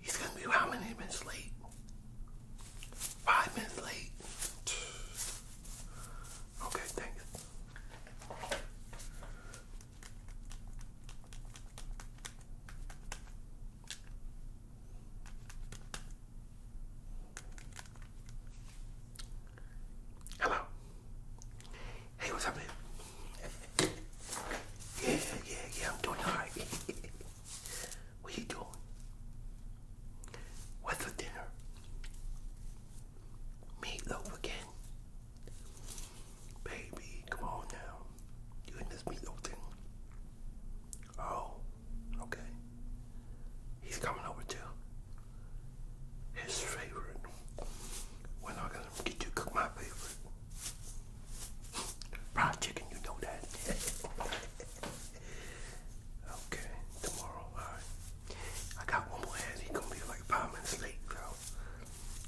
He's gonna be how many minutes late? Five minutes late. Okay, thanks. Hello. Hey, what's happening? Yeah, yeah, yeah, I'm doing alright. What are you doing? What's for dinner? Meatloaf again? Baby, come on now. You this meatloaf thing? Oh, okay. He's coming over too. His favorite. When I gonna get you cook my favorite? Fried chicken, you know that. okay, tomorrow, alright. I got one more ad. He's gonna be like five minutes late, so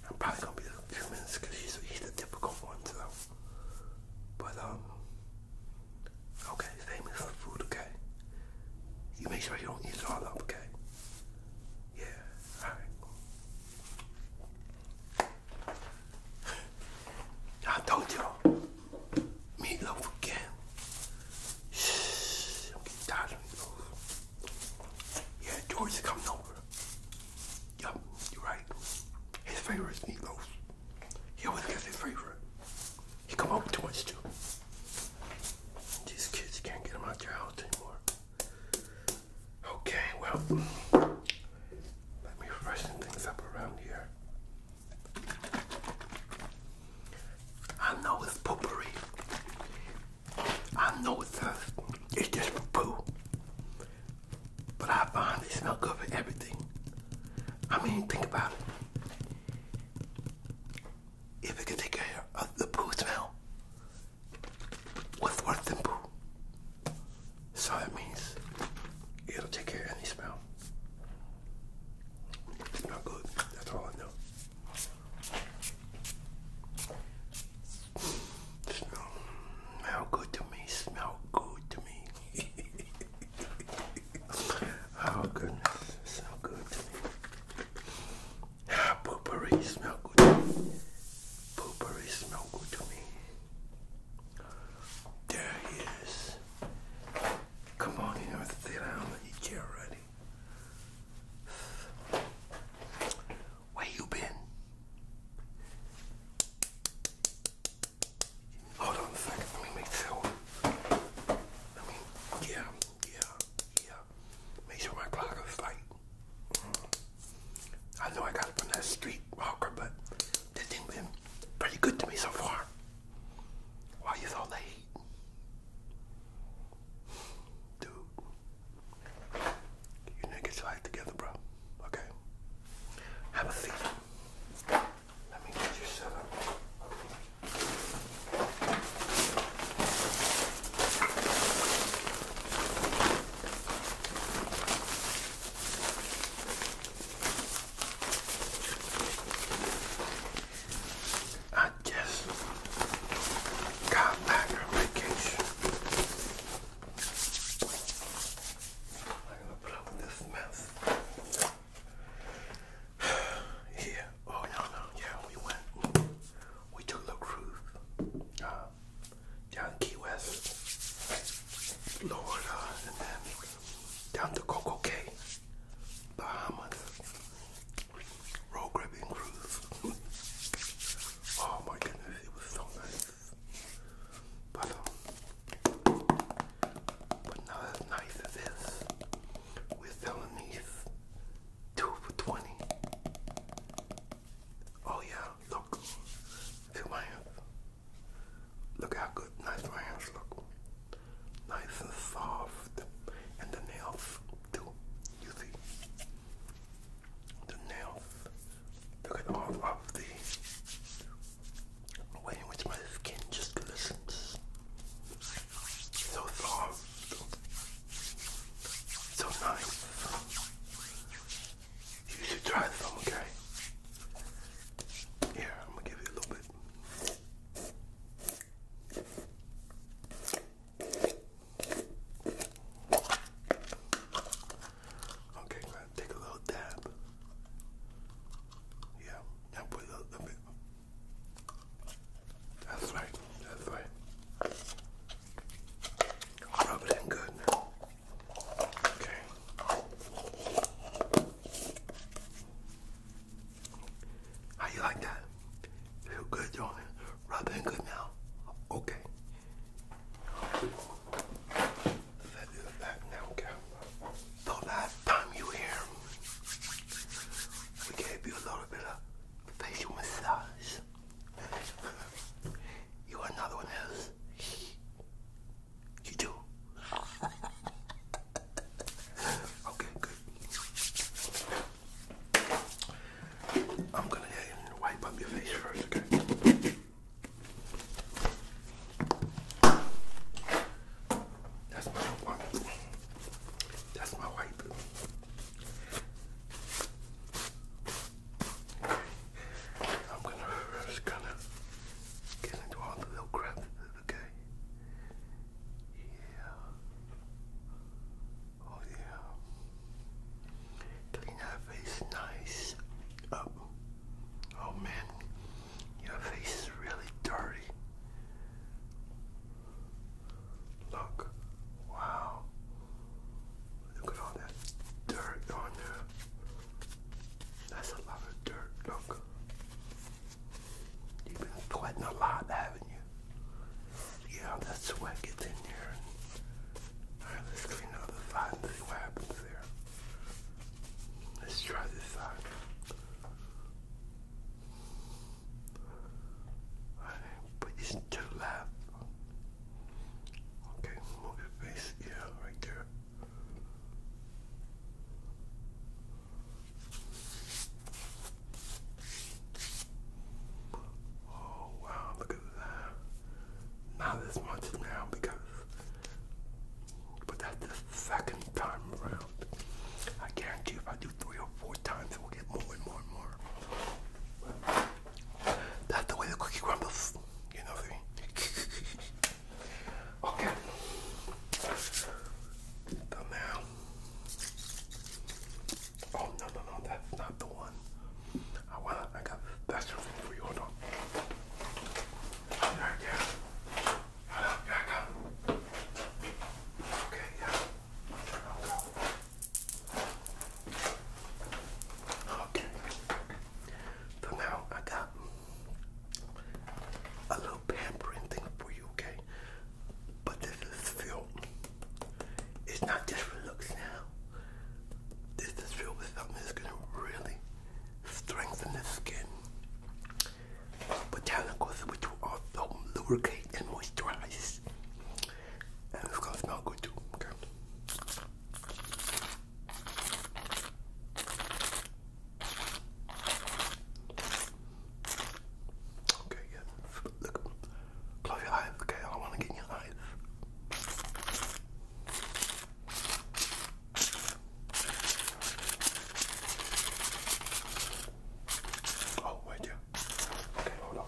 I'm probably gonna be a few minutes because he's, he's the typical one, so. But, um, okay, save food, okay? You make sure you don't eat it all up, okay? Yeah, alright. I don't you meatloaf again. Shh, I'm getting tired of meatloaf. Yeah, George coming over. Yup, you're right. His favorite is meatloaf. He always gets his favorite. He come over to us too. These kids can't get him out their house anymore. Okay, well, let me freshen things up around here. I know it's potpourri. I know it's, just, uh, it's just poo. But I find they smell good for everything. I mean, think about it. If it could take care of the poo smell, what's worse than poo? So that means it'll take care of any smell. It good. That's all I know. Smell, smell good to me. Smell good to me. oh goodness, smell good to me. Ah, smell good. Pooper is no good to me. There he is. Come on in and sit down in your chair already. Where you been? Hold on a second, let me make sure. Let me, yeah, yeah, yeah. Make sure my clock is tight. I know I got it from that street walker, but this thing been pretty good to me so far. Why you all the Dude. You need to together, bro. Okay? Have a seat. Let me get you set up. I just got back from vacation. I'm to put up with this mess. yeah. Oh no no. Yeah, we went. We took a cruise. Uh, down Key West, Florida, and then down to Coco Cay, Bahamas, road gripping cruise. oh my goodness, it was so nice. But um, but not as nice as this. We're selling these two for twenty. Oh yeah, look. Feel my hands. Look how good, nice my hands look. Nice and soft. And the nails too. You see? The nails. Look at all of the way in which my skin just glistens. So soft. So nice. You should try some, okay? Here, I'm gonna give you a little bit. Okay, take a little dab. Yeah, now put a little bit. That's right, that's right. Rub it in good now. Okay. How you like that? Feel good, do Rub it in good now. Okay. Let's do that now, okay? So last time you were here, we gave you a little bit of facial massage. you want another one else? You do. okay, good. I'm gonna wipe up your face first, okay? That's my one. That's my wipe. I'm gonna just kind of get into all the little crap, okay? Yeah. Oh yeah. Clean that face nice up. Oh man, your face is really dirty. Look. Wow. Look at all that dirt on there. That's a lot of dirt, look. You've been sweating a lot, haven't you? Yeah, that sweat gets in there. Alright, let's clean the side and see what happens there. Let's try this side. Alright, put these two left. Okay, move your face. Yeah, right there. Oh wow, look at that. Not as much now because but that's the second time around. I guarantee if I do three or four times, we'll get more and more and more. That's the way the cookie crumbles. You know what okay. now. Oh no no no, that's not the one. I want. I got special thing for you. yeah. Hold on, yeah, I Okay, yeah. Okay. So now I got a little pampering thing for you, okay? But this is filled. It's not just for looks now. This is filled with something that's gonna really strengthen the skin. Botanicals which will also lubricate and moisturize. And it's gonna smell good too, okay? Okay, Look, close your eyes, okay? I want to get in your eyes. Oh, wait, yeah. Okay, hold on.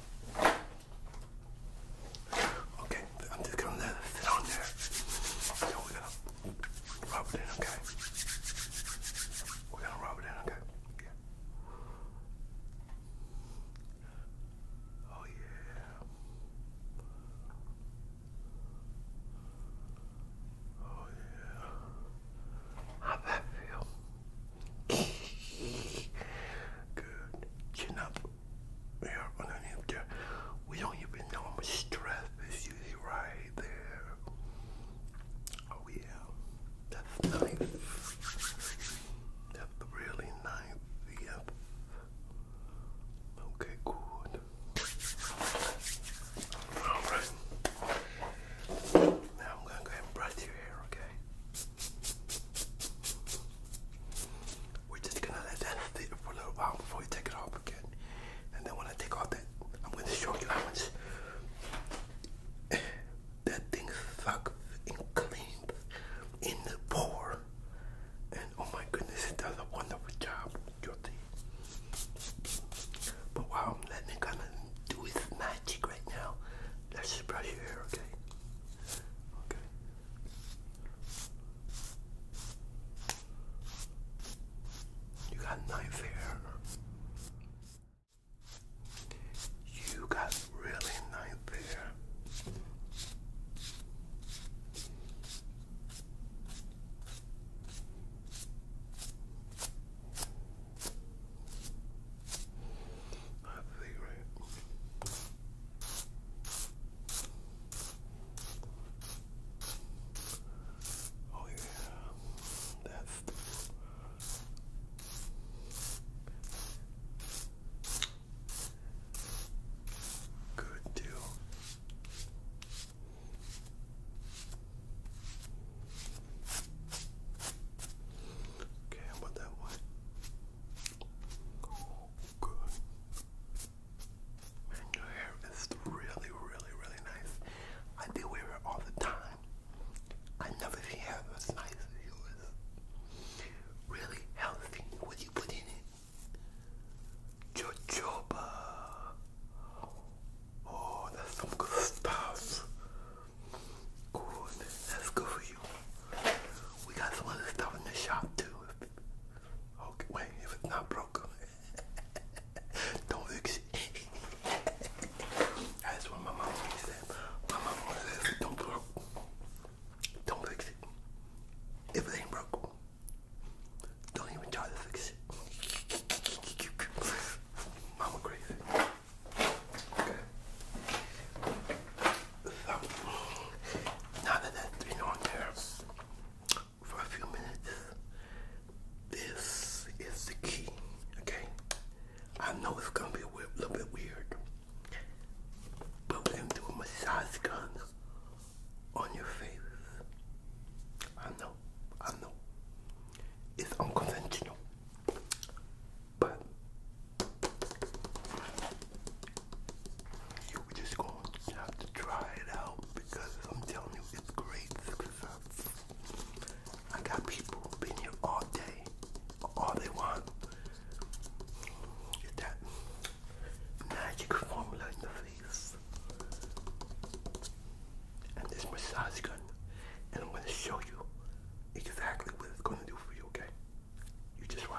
Okay, I'm just gonna let it sit on there. So we're rub it in, okay? We're gonna rub it in, okay? Yeah. Oh yeah. Oh yeah. how that feel? Good. Chin up here underneath there. We don't even know how much stress is usually right there. Oh yeah. That's nice. That's really nice. Yep. Okay, good. Alright. Now I'm gonna go ahead and brush your hair, okay? We're just gonna let that sit for a little while before we take it off again. And then when I take off that, I'm gonna show you how much that thing sucks and cleans in the pour. And oh my goodness, it does a wonderful job your teeth. But while I'm letting it kind of do its magic right now, let's brush your hair, okay? Okay. You got knife hair. You got really knife hair. I figure Oh yeah, that's good deal. Okay, how that one? Good. your hair is really, really, really nice. I do wear it all the time. I never see hair as nice as yours. Really healthy. What you put in it? Jojoba. Uh, oh, that's some good stuff. Good. That's good for you. We got some other stuff in the shop too. Okay, wait, if it's not broken, don't fix it. That's what my mom always said. My mom always says, don't broke. Don't fix it. If it ain't broke, don't even try to fix it. Mama crazy. Okay. So, now that that's been on there for a few minutes, this is the key, okay? I know it's gonna be a little bit weird, but we're going massage gun on your face. I know, I know. It's unconventional. But you just gonna have to try it out because I'm telling you it's great. I got people who've been here all day. All they want is that magic formula in the face. And this massage gun. And I'm gonna show you exactly what it's gonna do for you, okay? You just watch.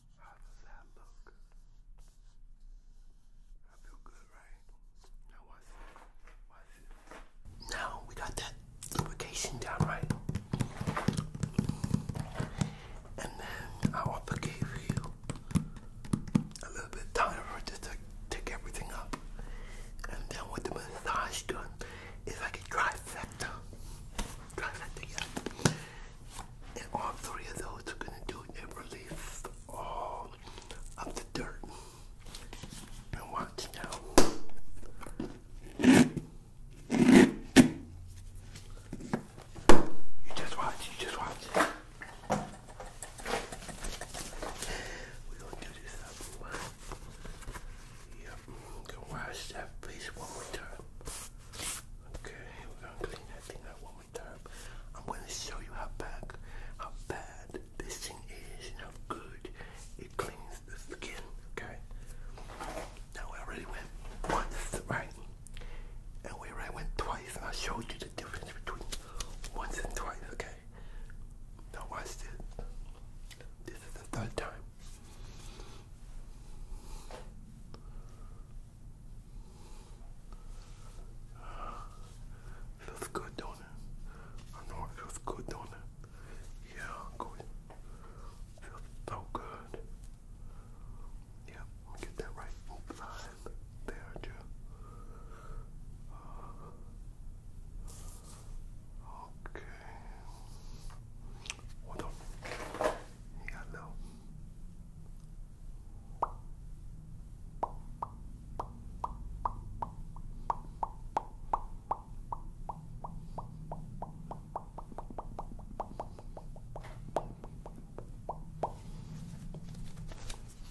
How does that look? I feel good, right? Now we got that lubrication down right. And then I want give you a little bit of time just to take everything up. And then what the massage done is like a trifecta. Trifecta, yeah. And all three of those are gonna do it and release all of the dirt. And watch now. You just watch, you just watch. we gonna do this up. Yep, going that face one more time. Okay, we're gonna clean that thing one more time. I'm gonna show you how bad, how bad this thing is and how good it cleans the skin. Okay. Now I already went once, right? And we already went twice, and I showed you the difference between once and twice. Okay. Now watch this. This is the third time. Feels good, don't it? I know it feels good, don't it? Yeah, good. Feels so good. Yeah, let me get that right side there, too. okay. Hold on. You got a little.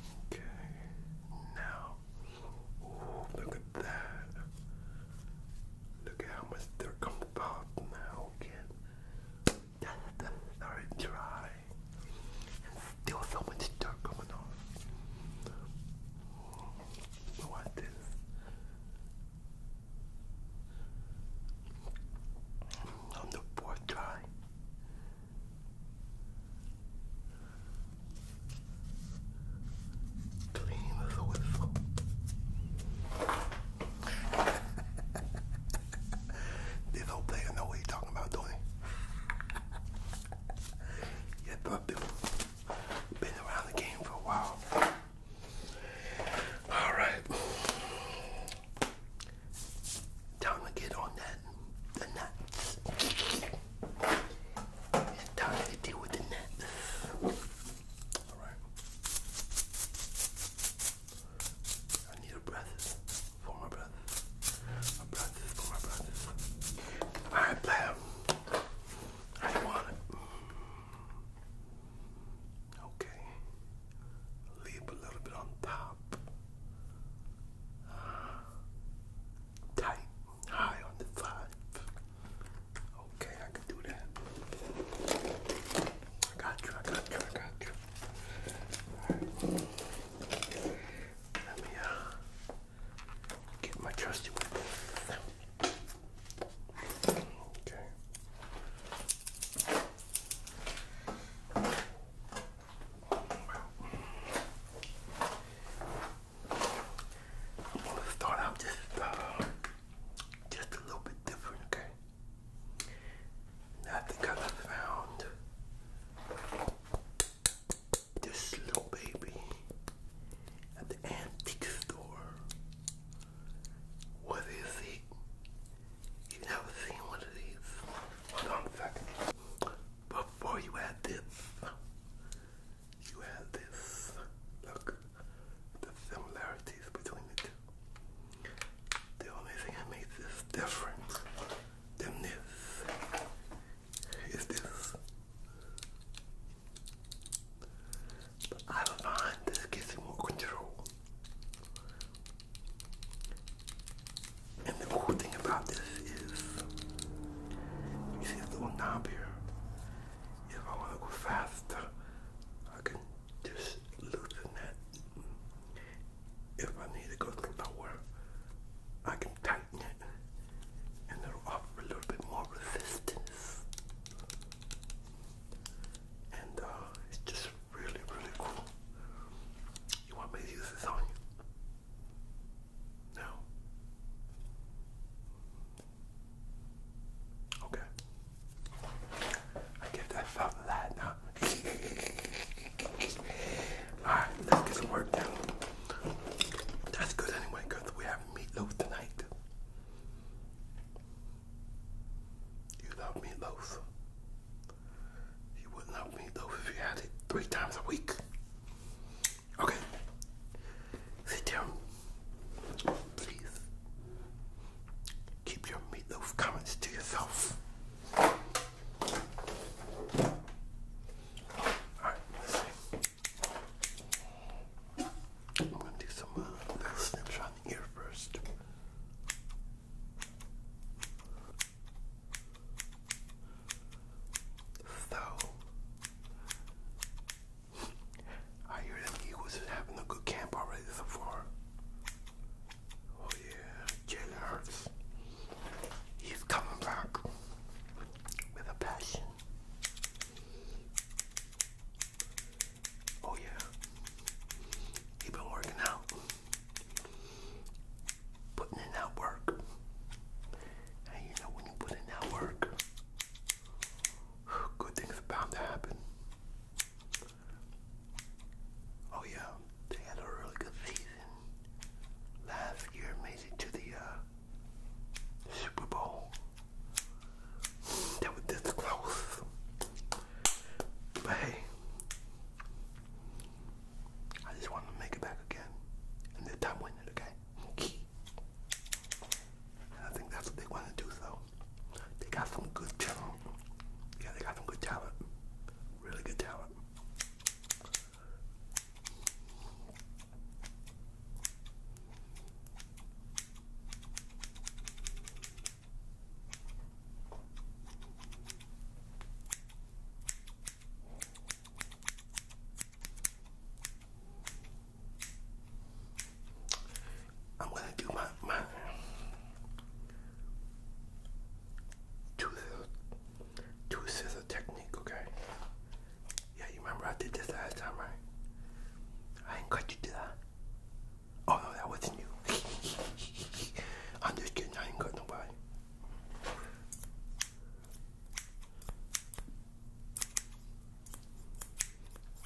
Okay, now, oh, look at that. Look at how much dirt comes part now again. That's the third try. And still so much dirt coming off. So what On the fourth try. Clean as a whistle this whole player know what he's talking about, don't he? yeah, bro, been, been around the game for a while. All right. Time to get on that. The nuts. It's time to deal with the nuts. Alright. I need a breath for my breath. A breath for my breath. Alright, player. I want it. Okay. Leave a little bit on top. Uh, tight, high on the five. Okay, I can do that. I got you, I got you, I got you. Let me uh get my trusty Okay. I'm gonna start out just uh, just a little bit different, okay? I think I found this little baby at the antique store. What is it? You never seen one of these. Hold on a second. Before you had this, you had this. Look, the similarity the only thing that makes this different than this is this. But I don't mind this gives me more control. And the cool thing about this is, you see this little knob here. If I want to go faster, I can just loosen that. If I need to go lower, I can tighten it and it'll offer a little bit more resistance. And uh, it's just really, really cool. You want me to use this on you? No. Okay. I give that felt that now. Alright, let's get some work done. That's good anyway, because we have meatloaf tonight. You love meatloaf. You wouldn't love meatloaf if you had it three times a week. Okay. Sit down please keep your those comments to yourself. All right, let's see. I'm gonna do some uh, little snips on the ear first. So, I hear that the Eagles is having a good camp already so far. Oh yeah, Jalen Hurts. He's coming back with a passion. Oh yeah. He's been working out. Putting in that work. And you know when you put in that work, good things about to happen. Oh yeah, they had a really good season last year, made it to the uh, Super Bowl. They were this close, but hey, I just wanted to make it back again, and this time win it, okay? I think that's what they want to do, so they got some good talent. Yeah, they got some good talent. Really good talent. I'm gonna do my my two two scissor technique, okay? Yeah, you remember I did this last time, right? I didn't you, did I? Oh no, that wasn't you. I'm just kidding, I ain't cut nobody.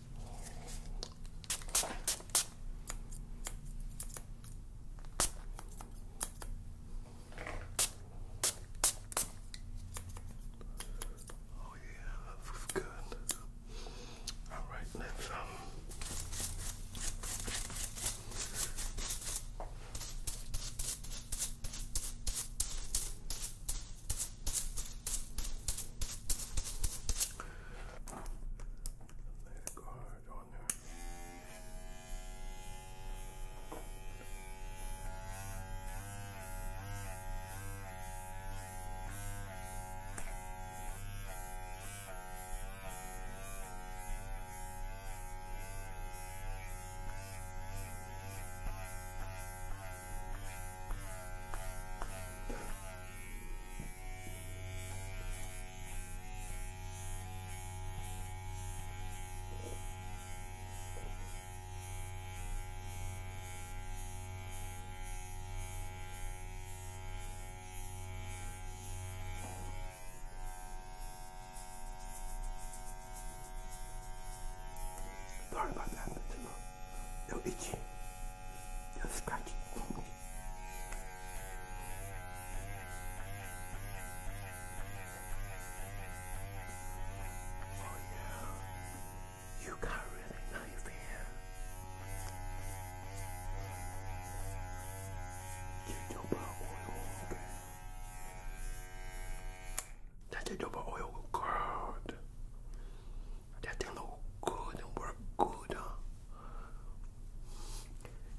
Oh yeah, that's good. All right, let's um lay the guard on there. Sorry about that, it's a little itchy you got really knife here. You double oil, okay? That's a double oil, God that they look good and work good. Huh?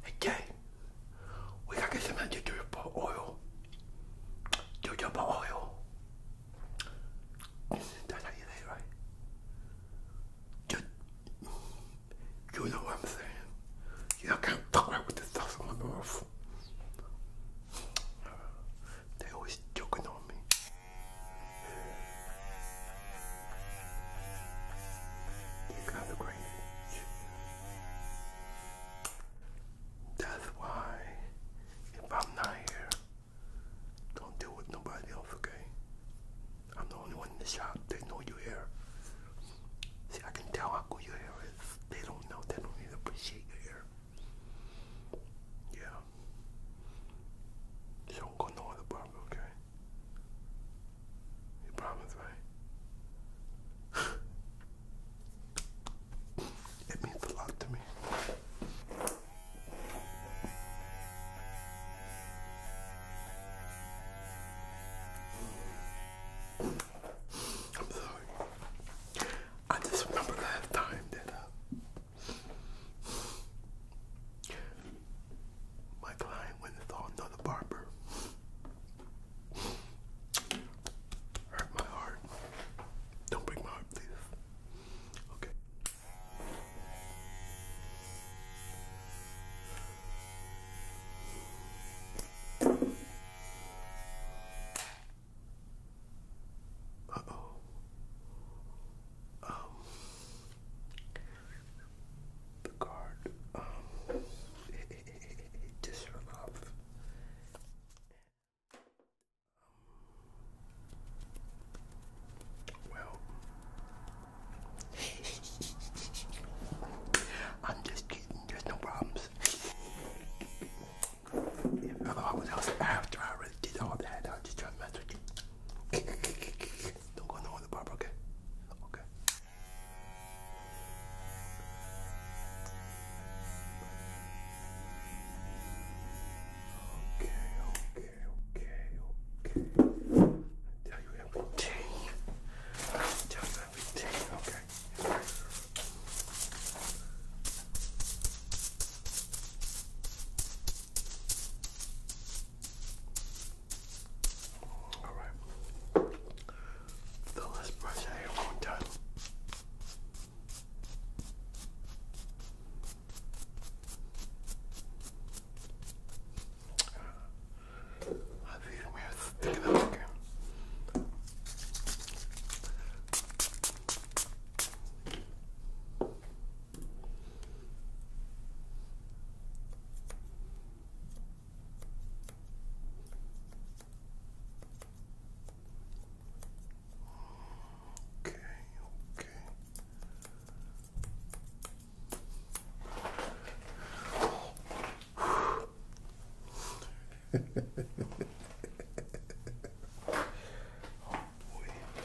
Okay, we gotta get some jojoba oil. Jojoba oil. That's how you say right? Just, you know what I'm saying. You can't talk right with the stuff on my mouth. They always joking on me. You got the great That's why if I'm not here, don't deal with nobody else, okay? I'm the only one in the shop. They know you here. See, I can tell how good your hair is. They don't know. They don't even appreciate your hair. Yeah. don't go no other barber, okay? You promised right? it means a lot to me. I'm sorry. I just remember last time that uh, my client went and saw another barber. Hurt my heart. Don't break my heart, please. Okay. Uh oh. Um the card um, just run off. Well, I'm just kidding. There's no problems. if I was else after I did all that, I was just trying to mess with you. Don't go on the bar, Okay. Okay, okay, okay, okay. I tell you everything. I tell you everything, okay. Alright. So let brush our hair one I see some hair again. Okay, okay.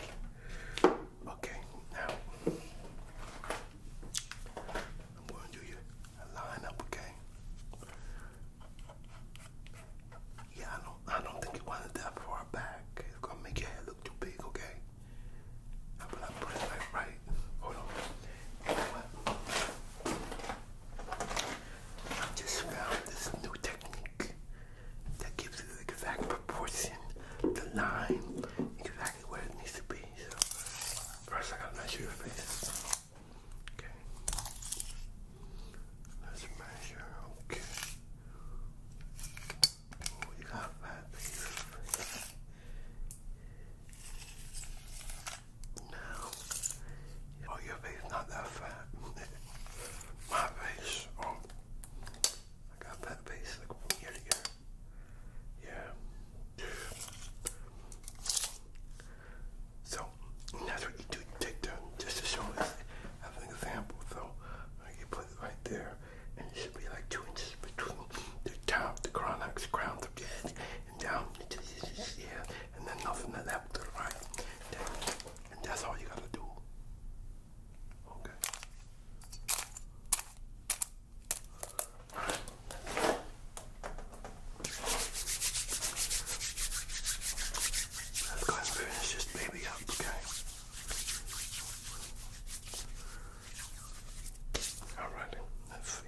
oh Okay, now I'm going to do you line up, okay? Yeah, I don't I don't think you want that far back. It's gonna make your head look too big, okay? I put I put it like right. Hold on. You know what? I just found this new technique that gives you the exact proportion, the line, exactly where it needs to be. So first I gotta measure your face. Okay. Let's measure, okay. Oh, got that Now, oh, your face not that fat. My face, oh, I got that piece Yeah. So that's what you do take down just to show us as an example. So you put it right there and it should be like two inches between the top, the chronox crowns of the head and down into this yeah, and then nothing to the left to right. that's all you gotta do. Okay. right. Let's go ahead and finish this baby up, okay? All right, let's see.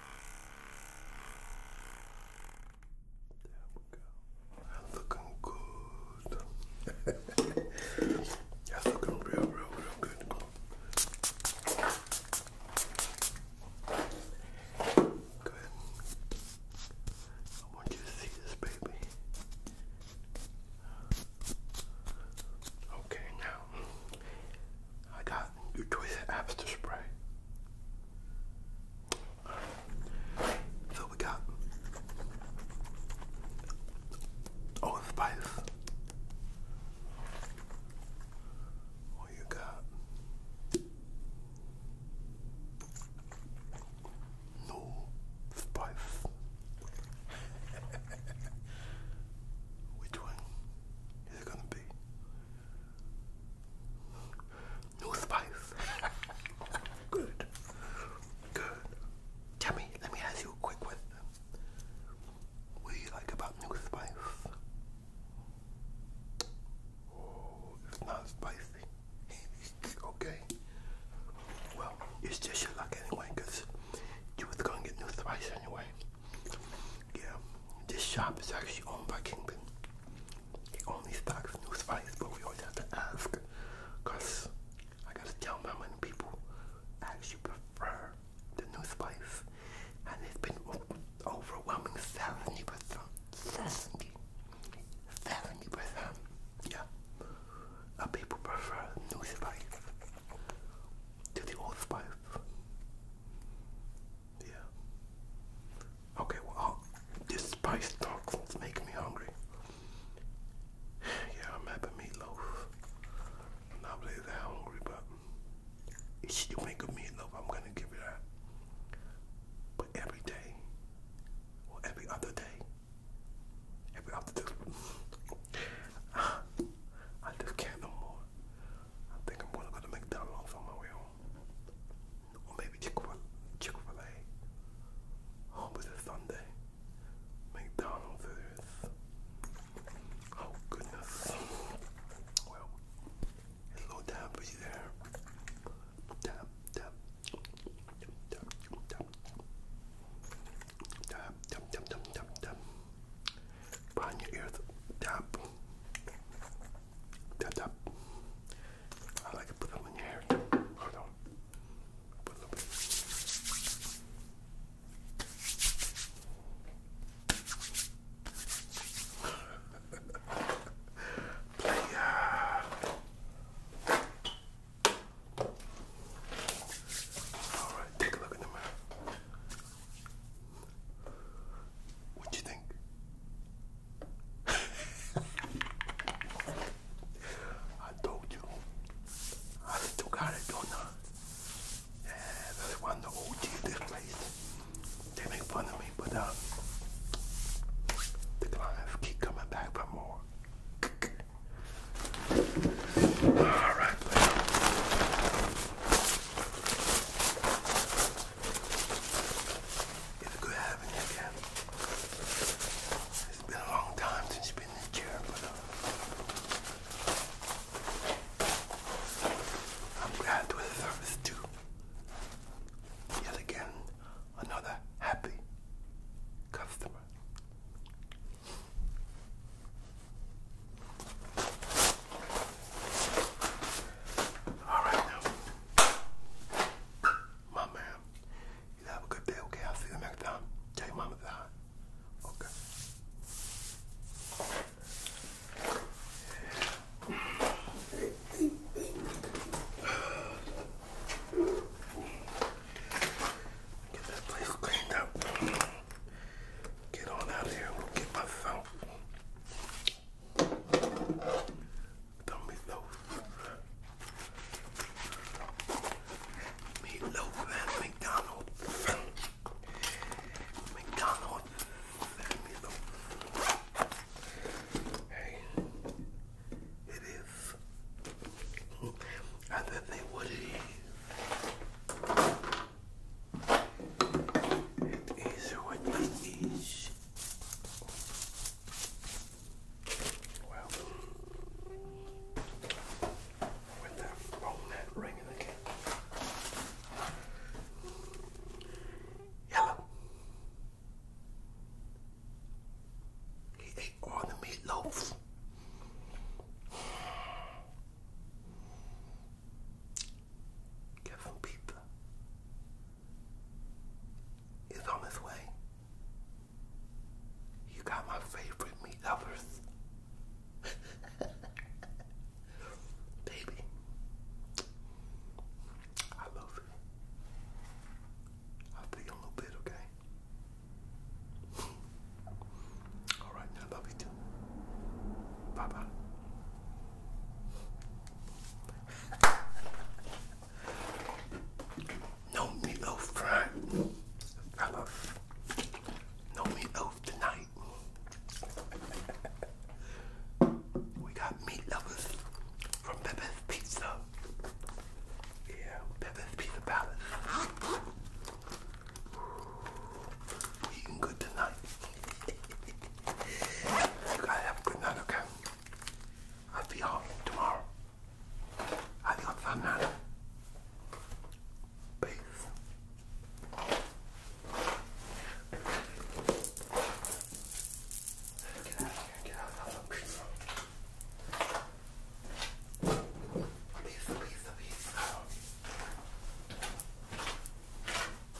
There we go. looking good. That's looking real, real, real good. Go ahead. I want you to see this, baby. Okay, now I got your choice of apps to spray. So we got Spice. What you got? No spice. Which one is it gonna be? No spice. Good. Good. Tell me, let me ask you a quick question. What do you like about new spice? Oh, it's not spicy. okay. Well, it's just your luck anyway, you was gonna get new spice anyway. Yeah, this shop is actually owned by Kingpin. He only stocks new spice, but we always have to ask, I gotta tell how many people actually prefer the new spice, and it's been overwhelming seventy percent, seventy, seventy percent. Yeah, of people prefer new spice to the old spice. Yeah. Okay, well, this spice talking's making me hungry. Yeah, I'm happy meatloaf. not really that hungry, but if you make a meatloaf, I'm gonna give it that. But every day, or every other day, every other day, I just can't no more. I think I'm gonna go to McDonald's on my way home. Or maybe Chick-fil-A. Chick home a Sunday. McDonald's Oh goodness. Well, it's low time for you there. Tap, tap. Tap, tap, tap. Tap, tap, tap, tap, tap behind your ears. Tap. Tap, I like to put them in your hair. Hold on. Player. Uh, All right, take a look in the what do you think? I told you. I took Arizona. Yeah, that's They make fun of me, but uh, the clients keep coming back for more. All right, it's good having you again. It's been a long time since you've been in the chair, but uh, I'm glad to have service too. Yet again, another happy customer. All right my man, you have a good day. Okay, I'll see you next time. Take mama time. Okay. Get this place cleaned up. Get on out of here. We'll get my son now. The meatloaf. and McDonald's. McDonald's and Hey, it is. I didn't think what it is what it is. Well, with that roll-net ring in the He ate all the meatloaf. Kevin Pizza is on his way. You got my favorite meat lovers. Baby, I love you. I'll be a little bit, okay? Alright, now love no meatloaf tonight, fellas. No meatloaf tonight. we got meat lovers from Pepe's Pizza. Yeah, Pepe's Pizza Palace. We're eating good tonight. you gotta have a good night, okay? I'll be home tomorrow. Adios, Fernando. Peace. Get out of here, get out of the pizza. Pizza, pizza,